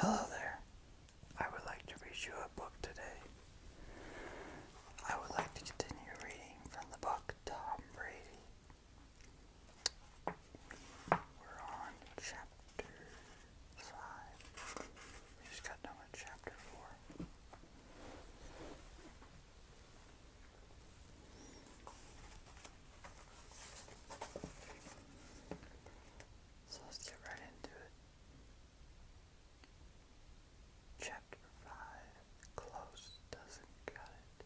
Hello there. I would like to read you a book today. I would like to continue reading from the book Tom Brady. We're on chapter 5. We just got done with chapter 4. So let's get right into it. Chapter 5 Close Doesn't Cut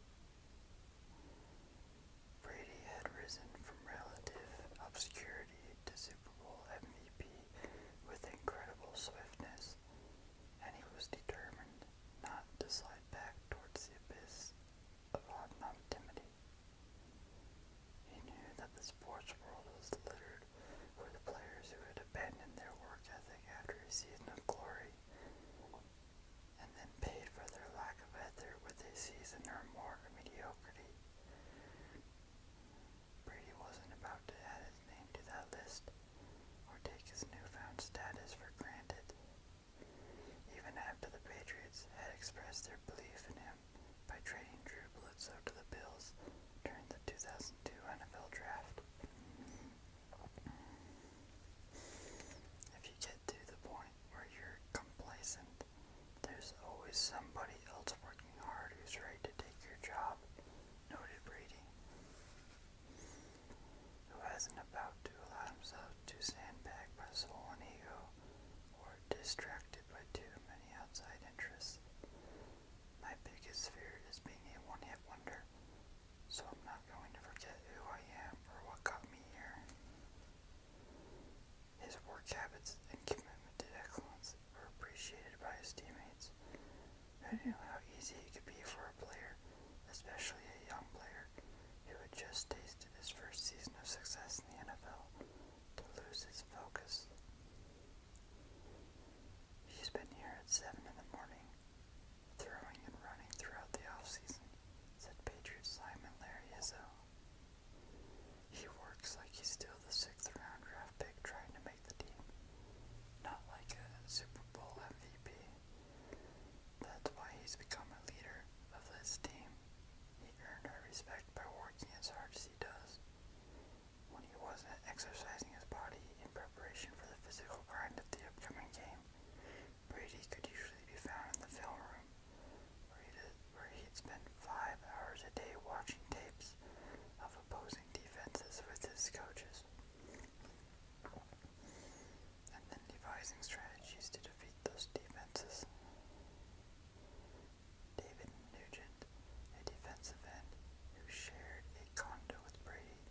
Brady had risen from relative obscurity to Super Bowl MVP with incredible swiftness and he was determined not to slide back towards the abyss of anonymity. He knew that the sports world was littered with players who had abandoned their work ethic after a season of glory and then paid for their lack of ethic with a season or more of mediocrity. Brady wasn't about to add his name to that list, or take his newfound status for granted. Even after the Patriots had expressed their belief in him by trading Drew Bledsoe to the Bills during the 2002 NFL Draft. If you get to the point where you're complacent, there's always somebody else working hard who's ready to take your job. Noted Brady who isn't about to allow himself to sandbag by his own ego or distracted by too many outside interests. My biggest fear is being a one hit wonder, so I'm not going to forget who I am or what got me here. His work habits and commitment to excellence were appreciated by his teammates, who knew how easy it could be for a player, especially a young player who had just tasted his first season of success in the NFL, to lose his focus? He's been here at 7 in the morning, throwing and running throughout the offseason, said Patriots lineman Larry Izzo. He works like he's still the sixth round draft pick trying to make the team. Not like a Super Bowl MVP. That's why he's become a leader of this team. He earned our respect by working as hard as he does. When he wasn't exercising his body in preparation for the physical grind of the upcoming game, Brady could usually be found in the film room, where he'd, where he'd spend five hours a day watching tapes of opposing defenses with his coaches and then devising strategies to defeat those defenses. David Nugent, a defensive end who shared a condo with Brady,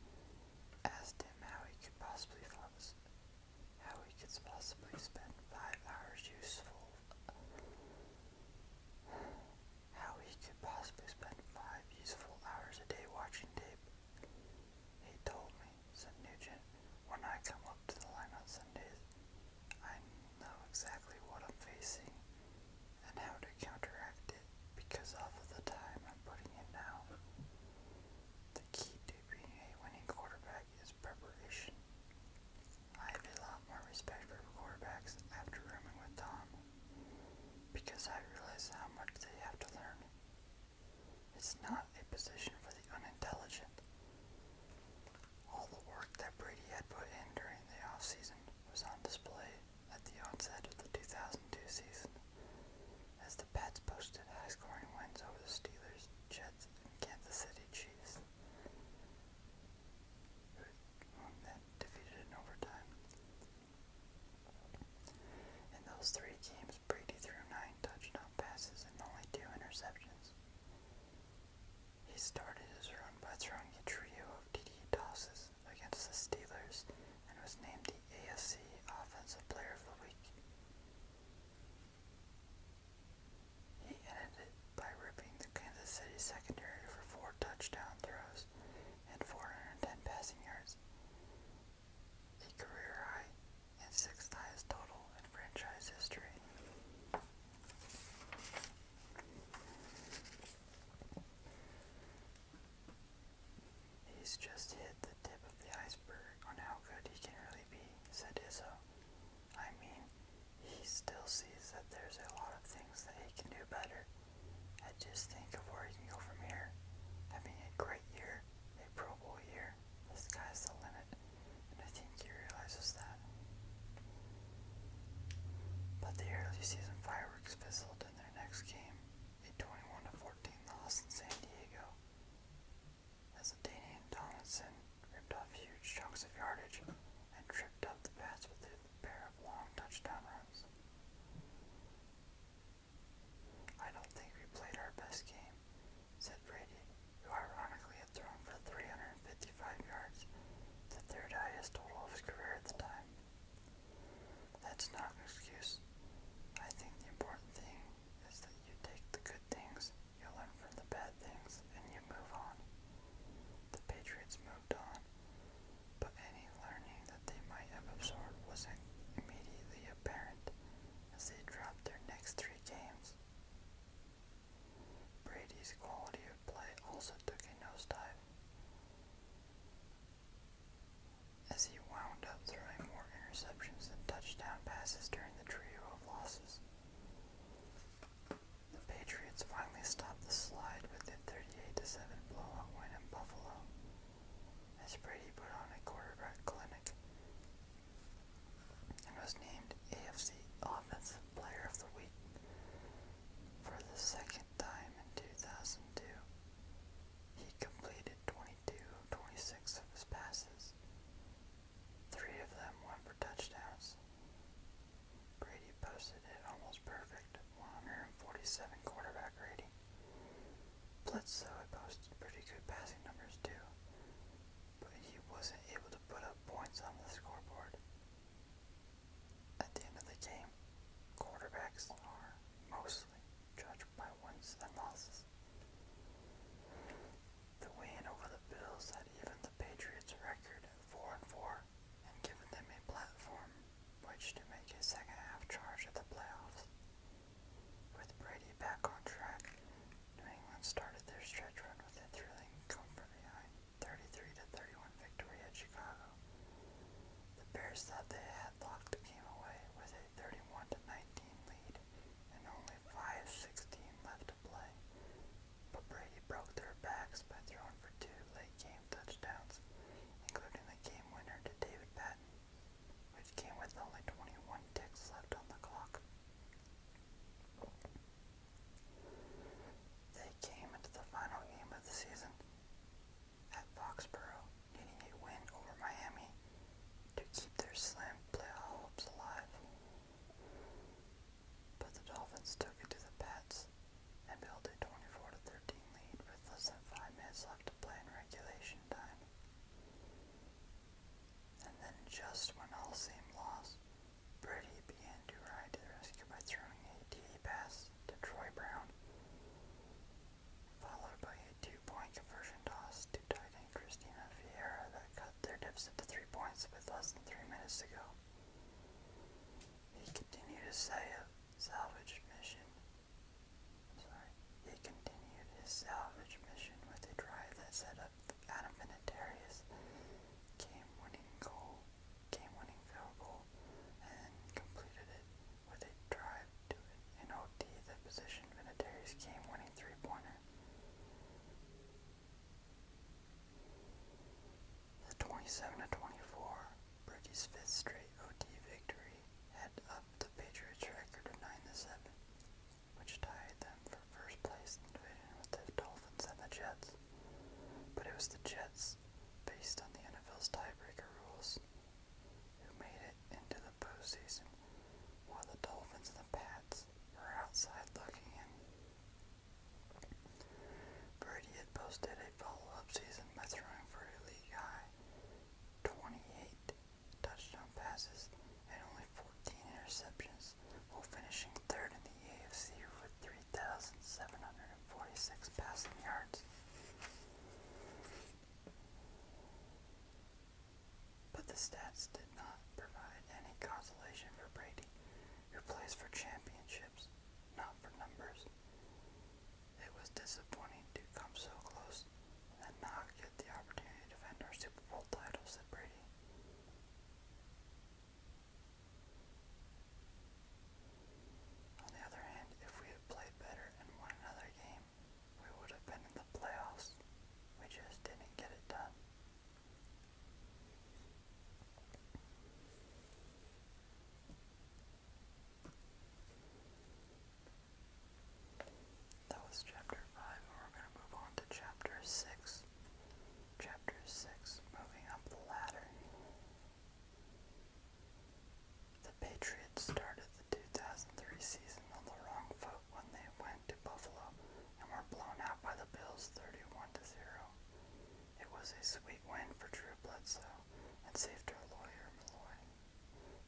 asked him how he could possibly how he could possibly spend five hours useful how he could possibly spend five useful hours a day watching tape. He told me, said Nugent, when I come up to the line on Sundays, I know exactly what I'm facing and how to counteract it because of the time I'm putting in now. The key to being a winning quarterback is preparation. I have a lot more respect for quarterbacks after rooming with Tom because I realize how much they have to learn. It's not a position for the unintelligent. All the work that Brady had put in during the offseason was on display at the onset of the 2002 season, as the Pats posted high scoring wins over the Steelers, Jets, and Kansas City Chiefs, whom then defeated in overtime. In those three games, Brady threw nine touchdown passes and only two interceptions. He started his run by throwing a trio of TD tosses against the Steelers and was named the ASC Offensive Player of the Week. He ended it by ripping the Kansas City secondary for four touchdown throws and 410 passengers, a career high and sixth highest total in franchise history. He's just hit the tip of the iceberg on how good he can really be, said Izzo. I mean, he still sees that there's a lot of things that he can do better. I just think of where you can go from here. Having a great year, a Pro Bowl year, This guy's the limit, and I think he realizes that. But the early season fireworks fizzled in their next game, a 21 14 loss in San Diego, as Danian Donaldson ripped off huge chunks of yardage and tripped up the pass with their pair of long touchdown runs. I don't think we played our best game, said Brady, who ironically had thrown for 355 yards, the third highest total of his career at the time. That's not an excuse. I think the important thing is that you take the good things, you learn from the bad things, and you move on. The Patriots moved on, but any learning that they might have absorbed wasn't immediately apparent as they dropped their next three games. Brady's quality of play also took a nosedive as he wound up throwing more interceptions than touchdown passes during the trio of losses. The Patriots finally stopped the slide with a 38-7 blowout win in Buffalo, as Brady put on a quarterback clinic and was named AFC Offensive Player of the Week for the second time in 2002. He completed 22 of 26 of his passes. Three of them went for touchdowns. Brady posted it almost perfect, 147 quarterback rating. Bledsoe had posted pretty good passing numbers too, but he wasn't able to put up points on the scoreboard. At the end of the game, quarterbacks are mostly judged by wins and losses. The win over the Bills had even the Patriots' record at 4 and 4 and giving them a platform which to make a second half charge at the playoffs. With Brady back on track, New England started their stretch run with a thrilling comfort behind 33 to 31 victory at Chicago. The Bears thought they had locked the away with a 31 to 19 lead and only 5 left to play but Brady broke their backs by throwing for two late-game touchdowns, including the game-winner to David Patton, which came with only 21 ticks left on the clock. They came into the final game of the season at Foxborough, needing a win over Miami to keep their slim playoff hopes alive but the Dolphins took it to the Pats and built a 24 13 lead with less than 5 minutes left to play in regulation time. And then, just when all seemed lost, Brady began to ride to the rescue by throwing a TD pass to Troy Brown, followed by a two point conversion toss to tight end Christina Vieira that cut their deficit to three points with less than three minutes to go. He continued his salvage mission. sorry. He continued his salvage mission with a drive that set up Adam Vinatieri's game-winning goal, game-winning field goal, and completed it with a drive to an OT that positioned Vinatieri's game-winning three-pointer. The 27 24 Brady's fifth straight OT victory had up the Patriots' record of 9 7, which tied them for first place in the division with the Dolphins and the Jets. But it was the Jets, based on the NFL's tiebreaker rules, who made it into the postseason, while the Dolphins and the Pats were outside looking in. Brady had posted a follow-up season by throwing for a league-high 28 touchdown passes and only 14 interceptions while finishing third in the AFC with 3,746 passing yards. But the stats did not provide any consolation for Brady, who plays for championships not for numbers. It was disappointing to come so close and not get the opportunity to defend our Super Bowl title, said Brady. On the other hand, if we had played better and won another game, we would have been in the playoffs. We just didn't get it done. That was chapter 5, and we're going to move on to chapter 6. Chapter 6 Moving Up the Ladder. The Patriots started the 2003 season on the wrong foot when they went to Buffalo and were blown out by the Bills 31 to 0. It was a sweet win for Drew Bledsoe and saved her lawyer Malloy,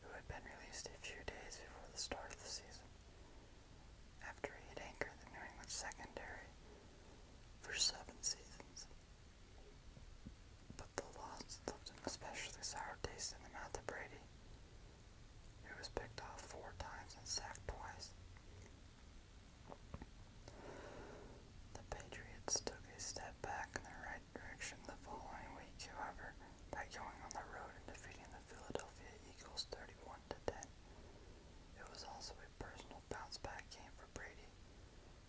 who had been released a few days before the start of the season. After he had anchored the New England secondary for seven seasons. But the loss left an especially sour taste in the Brady, who was picked off four times and sacked twice. The Patriots took a step back in the right direction the following week, however, by going on the road and defeating the Philadelphia Eagles 31 to 10. It was also a personal bounce back game for Brady,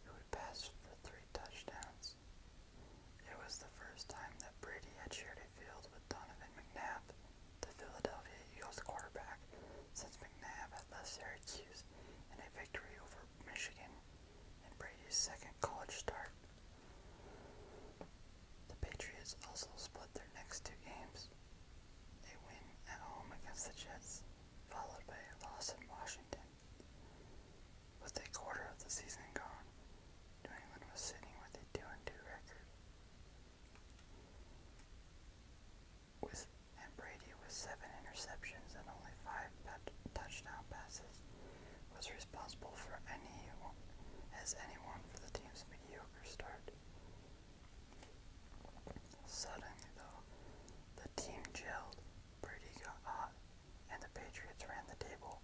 who had passed for three touchdowns. It was the first time that Brady had shared a field with Donovan McNabb the Philadelphia Eagles quarterback since McNabb had left Syracuse in a victory over Michigan and Brady's second college start. The Patriots also split their next two games. They win at home against the Jets, followed by a loss in Washington. With a quarter of the season gone, New England was sitting with a 2 and 2 record. With and Brady with seven interceptions and only five touchdown passes was responsible for any as anyone for the team's mediocre start. Suddenly, though, the team gelled. Brady got hot, and the Patriots ran the table,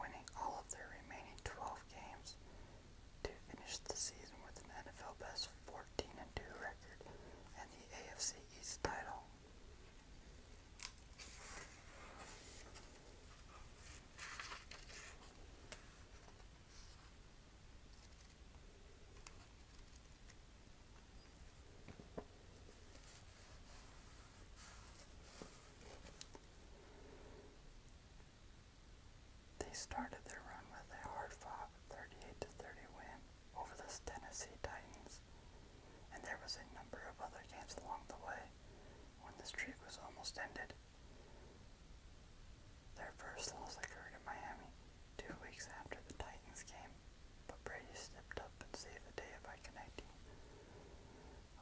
winning all of their remaining 12 games to finish the season with an NFL best 14 and 2 record and the AFC East title. They started their run with a hard-fought 38-30 win over the Tennessee Titans, and there was a number of other games along the way when the streak was almost ended. Their first loss occurred in Miami two weeks after the Titans game, but Brady stepped up and saved the day by connecting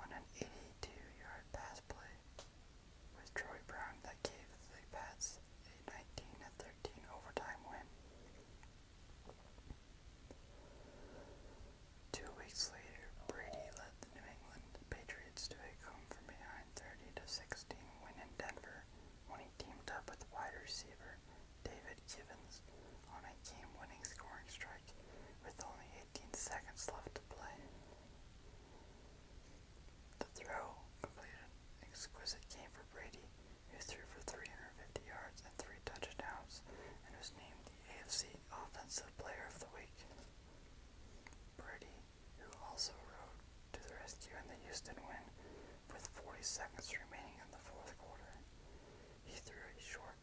on an 82-yard pass play was Troy Brown that gave the Pats a 19-13 overtime win. Two weeks later, Brady led the New England Patriots to a come-from-behind 30-16 win in Denver when he teamed up with wide receiver David Givens on a game-winning scoring strike with only 18 seconds left to play. The throw completed exquisite game for Brady, who threw for 350 yards and three touchdowns and was named the AFC Offensive Player of the Week. Brady, who also rode to the rescue in the Houston win with 40 seconds remaining in the fourth quarter. He threw a short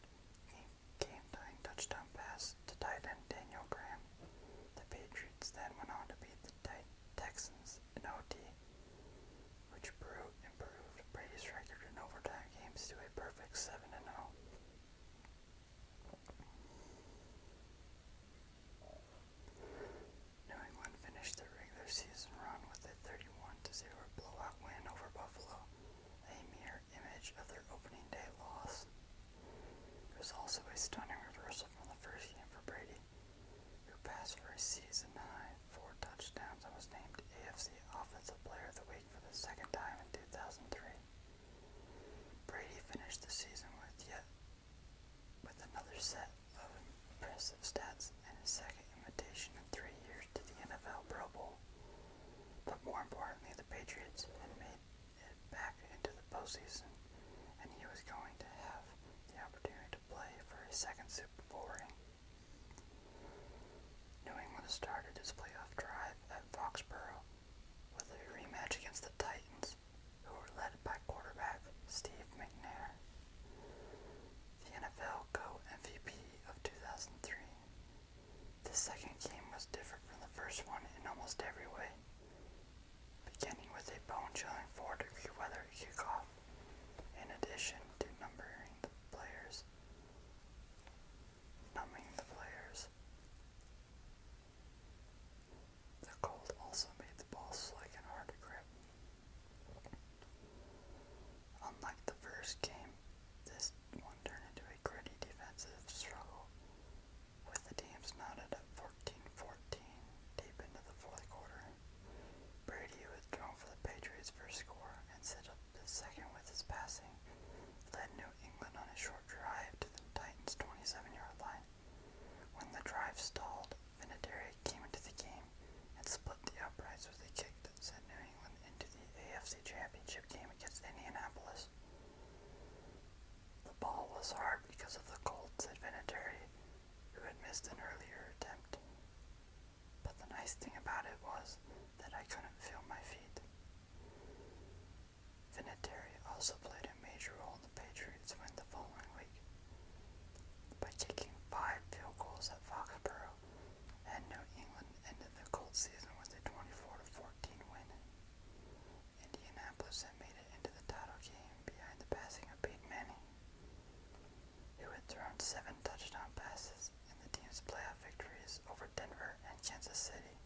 game-tying touchdown pass to tight end Daniel Graham. The Patriots then went on to beat the Texans and OT, which brew improved Brady's record in overtime games to a perfect 7 0. New England finished their regular season run with a 31 0 blowout win over Buffalo, a mere image of their opening day loss. It was also a stunning reversal from the first game for Brady, who passed for a season high four touchdowns and was named AFC Offensive Player of the Week for the second time in 2003. Brady finished the season with yet with another set of impressive stats and a second invitation in three years to the NFL Pro Bowl. But more importantly, the Patriots had made back into the postseason, and he was going to have the opportunity to play for his second Super Bowl ring. New England started its playoff drive at Foxborough with a rematch against the Titans, who were led by quarterback Steve McNair, the NFL co-MVP of 2003. The second game was different from the first one in almost every way beginning with a bone-chilling four-degree weather kickoff, in addition to numbering the players, numbing the players. The cold also made the ball slick and hard to grip. Unlike the first game, this one turned into a gritty defensive struggle with the teams knotted at 14-14 deep into the fourth quarter. Brady withdrawn for the Patriots' first score and set up the second with his passing, led New England on a short drive to the Titans' 27-yard line. When the drive stalled, Vinatieri came into the game and split the uprights with a kick that sent New England into the AFC Championship game against Indianapolis. The ball was hard because of the Colts advantage, who had missed an earlier attempt. But the nice thing about it was that I couldn't feel my feet. Vinatieri also played a major role in the Patriots' win the following week by taking five field goals at Foxborough, and New England ended the Colts season with a 24-14 win. Indianapolis had made it into the title game behind the passing of Peyton Manning, who had thrown seven touchdown passes in the team's playoff victories over Denver and Kansas City.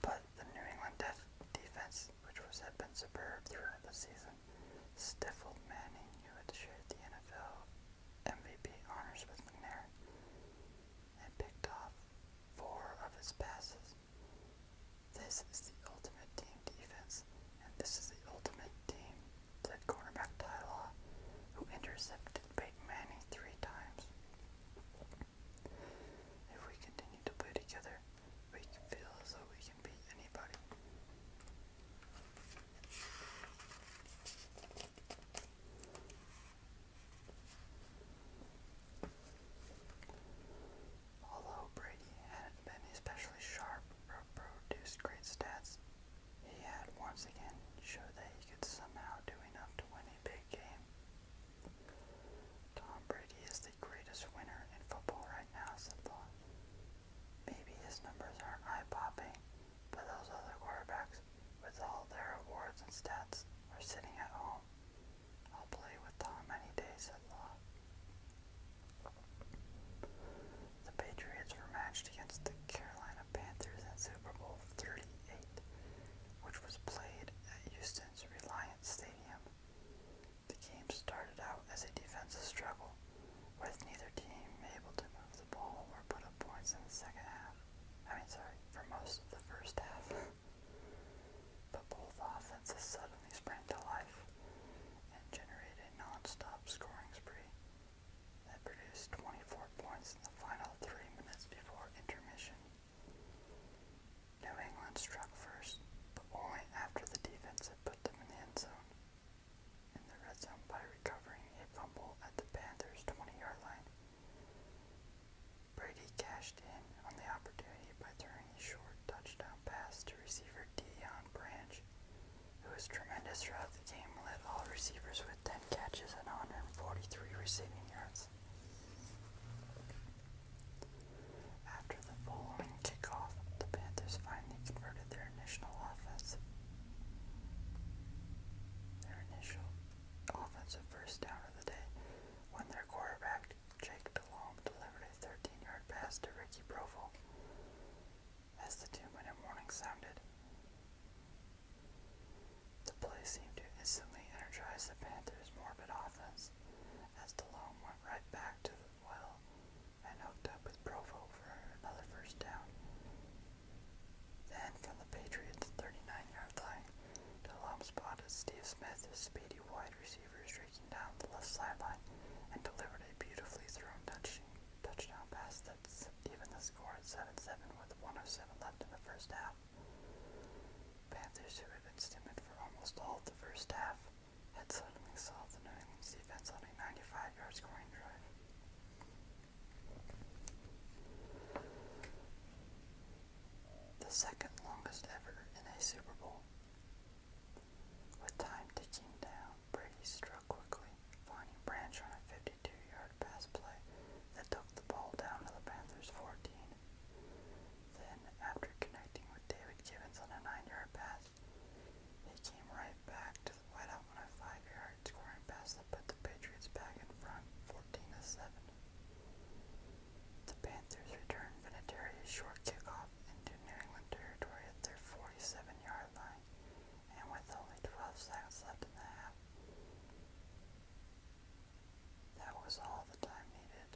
But the New England defense, which was, had been superb throughout the season, stifled Manning, who had shared the NFL MVP honors with McNair, and picked off four of his passes. This is the ultimate team defense, and this is the ultimate team, said cornerback Ty Law, who intercepted Peyton Manning three times. If we continue to play together, we feel as though we can beat anybody. Although Brady hadn't been especially sharp or produced great stats, he had once again showed that he could somehow do enough to win a big game. Tom Brady is the greatest winner in football right now, said Vaughn. Maybe his numbers aren't eye-popping, but those other quarterbacks, with all their awards and stats, are sitting at home, I'll play with Tom any day, said Law. The Patriots were matched against the Carolina Panthers in Super Bowl 38, which was played at Houston's Reliance Stadium. The game started out as a defensive struggle, with neither team able to move the ball or put up points in the second half. I mean, sorry, for most of the first half. But both offenses suddenly sprang to life and generated a non scoring spree that produced 24 points in the final three minutes before intermission. New England struck first, but only after the defense had put them in the end zone. In the red zone by recovering a fumble at the Panthers' 20-yard line. Brady cashed in on the opportunity by throwing a short touchdown pass to receiver Dion Branch, who was tremendous throughout the game and led all receivers with 10 catches and 143 receiving yards. After the following kickoff, the Panthers finally converted their initial offense. Their initial offensive first down of the day when their quarterback, Jake DeLome, delivered a 13-yard pass to Ricky Provo, as the two-minute warning sounded. The play seemed to instantly energize the Panthers' morbid offense as DeLome went right back to the well and hooked up with Provo for another first down. Then, from on the Patriots' 39-yard line. To the Steve Smith, his speedy wide receiver, is streaking down the left sideline and delivered a beautifully thrown touchdown pass that's even the score at 7-7 with 107 left in the first half. Panthers, who had been timid for almost all of the first half, had suddenly solved the New England defense on a 95-yard scoring drive the second longest ever in a Super Bowl. With time ticking down, Brady struck quickly, finding Branch on a 52-yard pass play that took the ball down to the Panthers' 14. Then, after connecting with David Gibbons on a 9-yard pass, he came right back to the whiteout on a 5-yard scoring pass that put the Patriots back in front 14-7. The Panthers returned Vinatieri's short kickoff into New England territory at their 47-yard line, and with only 12 seconds left in the half, that was all the time needed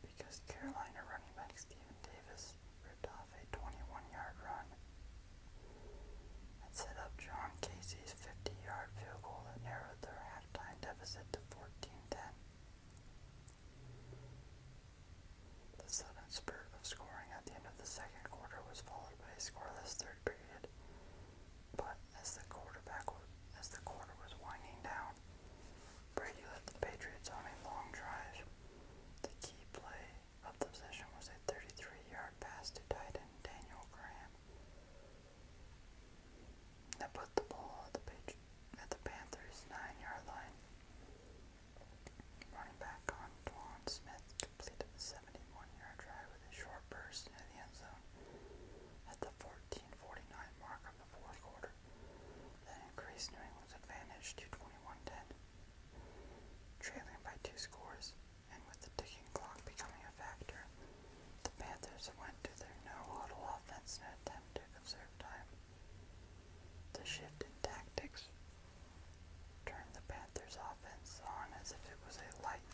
because Carolina running back Steven Davis ripped off a 21-yard run and set up John Casey Tennessee's 50-yard field goal narrowed their halftime deficit to 14-10. The sudden spurt of scoring at the end of the second quarter was followed by a scoreless third period, but as the as the quarter was winding down, Brady led the Patriots on a long drive. The key play of the possession was a 33-yard pass to tight end Daniel Graham, they put the ball at the, pitch, Panthers' nine-yard line. Running back on Dwan Smith completed a 71-yard drive with a short burst into the end zone at the 14:49 mark of the fourth quarter. That increased New England's advantage to 21-10, trailing by two scores and with the ticking clock becoming a factor, the Panthers went to their no-huddle offense in an attempt to conserve time. The shift in tactics turned the Panthers' offense on as if it was a light,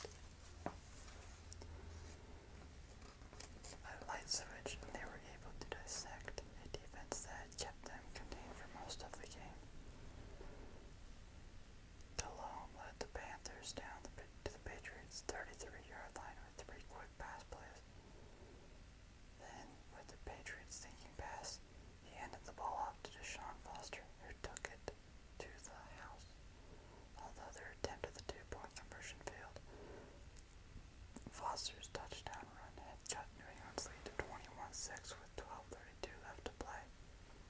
a light switch, and they were able to dissect a defense that kept them contained for most of the game. Delhomme led the Panthers down to the Patriots' 33-yard line with three quick pass plays. Then, with the Patriots' sinking pass, he handed the ball off to Deshaun Foster, who took it to the house. Although their attempt at the two-point conversion failed, Foster's touchdown run had cut New England's lead to 21-6 with 12:32 left to play.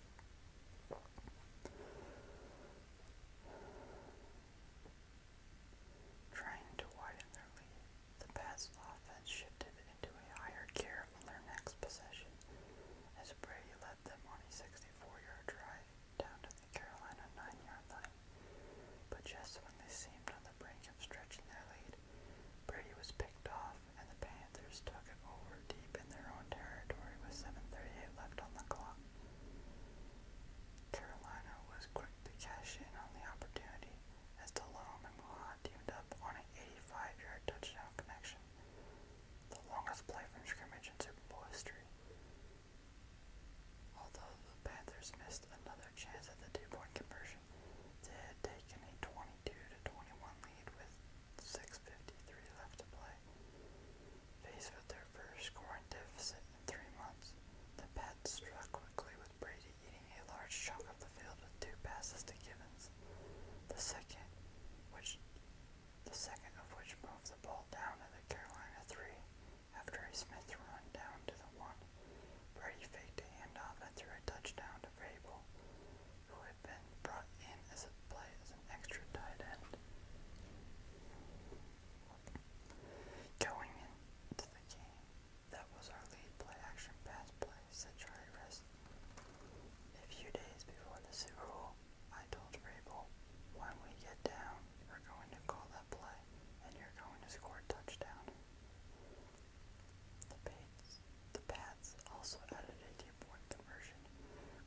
Trying to widen their lead, the Pats' offense shifted into a higher gear on their next possession as Brady led them on a 64-yard drive down to the Carolina 9-yard line. But just when they seemed on the brink of stretching their lead, Brady was picked off and the Panthers took it over deep in their own territory with 7.38 left on the clock. Carolina was quick to cash in on the opportunity as DeLome teamed up on an 85-yard touchdown connection, the longest play from scrimmage in Super Bowl history. Although the Panthers missed another chance at the two-point conversion, they had taken a 22-21 to lead with 6.53 left to play. Faced with their first scoring deficit in three months, the Pats struck quickly with Brady eating a large chunk of the field with two passes to Gibbons, the second, which, the second of which moved the ball down to the Carolina 3 after a Smith run down to the 1. Brady faked a handoff and threw a touchdown to Vrabel, who brought in as a play as an extra tight end. Going into the game, that was our lead play action pass play, said A few days before the Super Bowl, I told Rabel, when we get down, we're going to call that play, and you're going to score a touchdown. The Pats, the Pats also added a deep point conversion,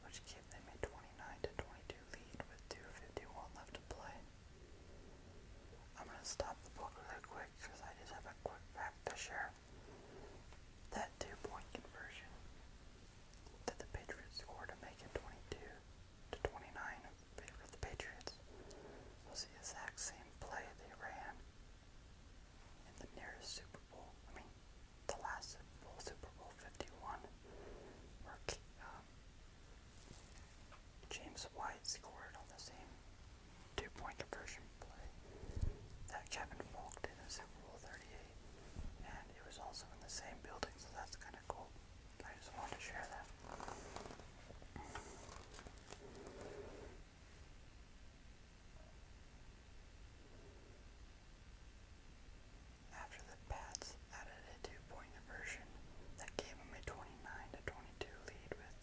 which gave they made 29-22 lead with 2.51 left to play. I'm going to stop the book really quick because I just have a quick fact to share. That two-point conversion that the Patriots scored to make it 22 to 29 for the Patriots was the exact same play they ran in the nearest Super Bowl, I mean, the last Super Bowl, Super Bowl 51, where uh, James White scored on the same two point conversion play that Kevin Falk did in Super Bowl 38, and it was also in the same building, so that's kind of cool. I just wanted to share that. After the Pats added a two-point conversion that gave them a 29-22 lead with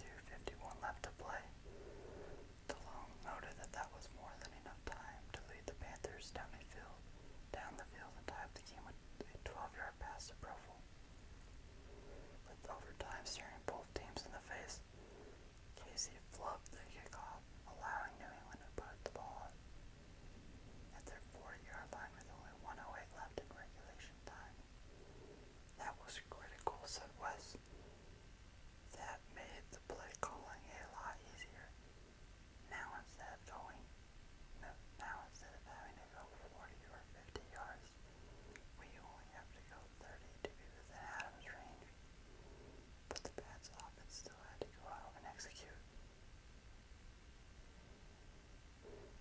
2.51 left to play, DeLong noted that that was more than enough time to lead the Panthers down, a field, down the field and tie the game with a 12-yard pass to Provel. With overtime staring both teams in the face, Casey flubbed the kickoff, allowing New England to put the ball at their 40-yard line with only 108 left in regulation time. That was critical, said West. That made the play calling a lot easier. Now instead of going, no, now instead of having to go 40 or 50 yards, we only have to go 30 to be within Adam's range put the pads off and still had to go out and execute.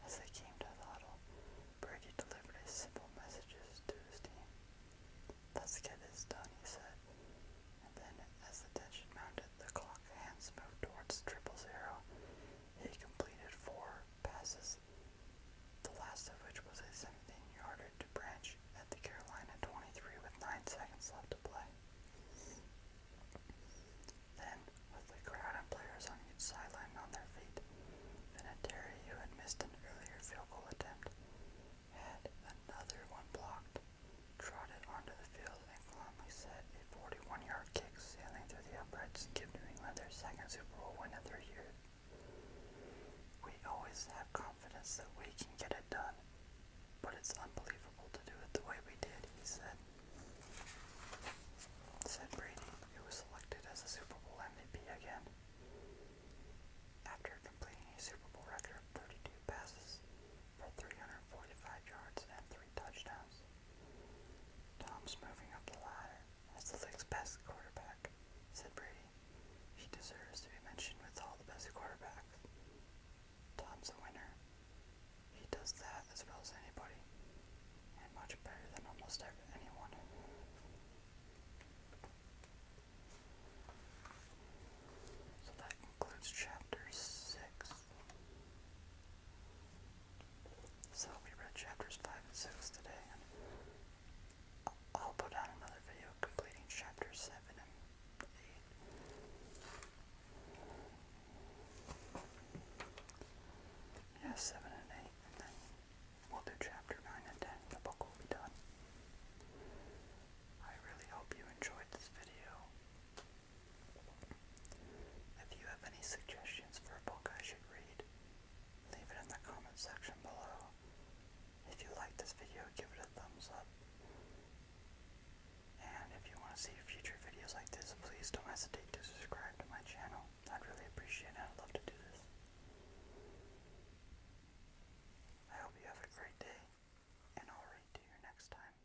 As they came to the huddle, Brady delivered his simple messages to his team. Let's get this done, he said. And then, as the tension mounted, the clock hands moved towards triple zero. He completed four passes, the last of which was a 17 yarder Branch at the Carolina 23 with 9 seconds left to play. Then, with the crowd and players on each sideline on their feet, Vinatieri, who had missed an earlier field goal attempt, had another one blocked, trotted onto the field, and calmly set a 41-yard kick sailing through the uprights and New England their second Super Bowl win of their year. We always have confidence that we can get it done, but it's unbelievable to do it the way we did, he said. Said Brady, who was selected as a Super Bowl MVP again. After completing a Super Bowl record of 32 passes for 345 yards and three touchdowns, Tom's moving up the ladder as the league's best quarterback, said Brady. He deserves to be mentioned with all the best quarterbacks. Tom's a winner. He does that as well as anybody, and much better than almost ever anyone. So that concludes chapter 6. So we read chapters 5 and 6 today, I'll put out another video completing chapter 7 and 8. Yeah, 7 and 8, and then we'll do chapter 9 and 10. The book will be done. I really hope you enjoyed this video. If you have any suggestions for a book I should read, leave it in the comment section below. If you like this video, give it a thumbs up. And if you want to see future videos like this, please don't hesitate to subscribe to my channel. I'd really appreciate it. I'd love to do this. I hope you have a great day, and I'll read to you next time.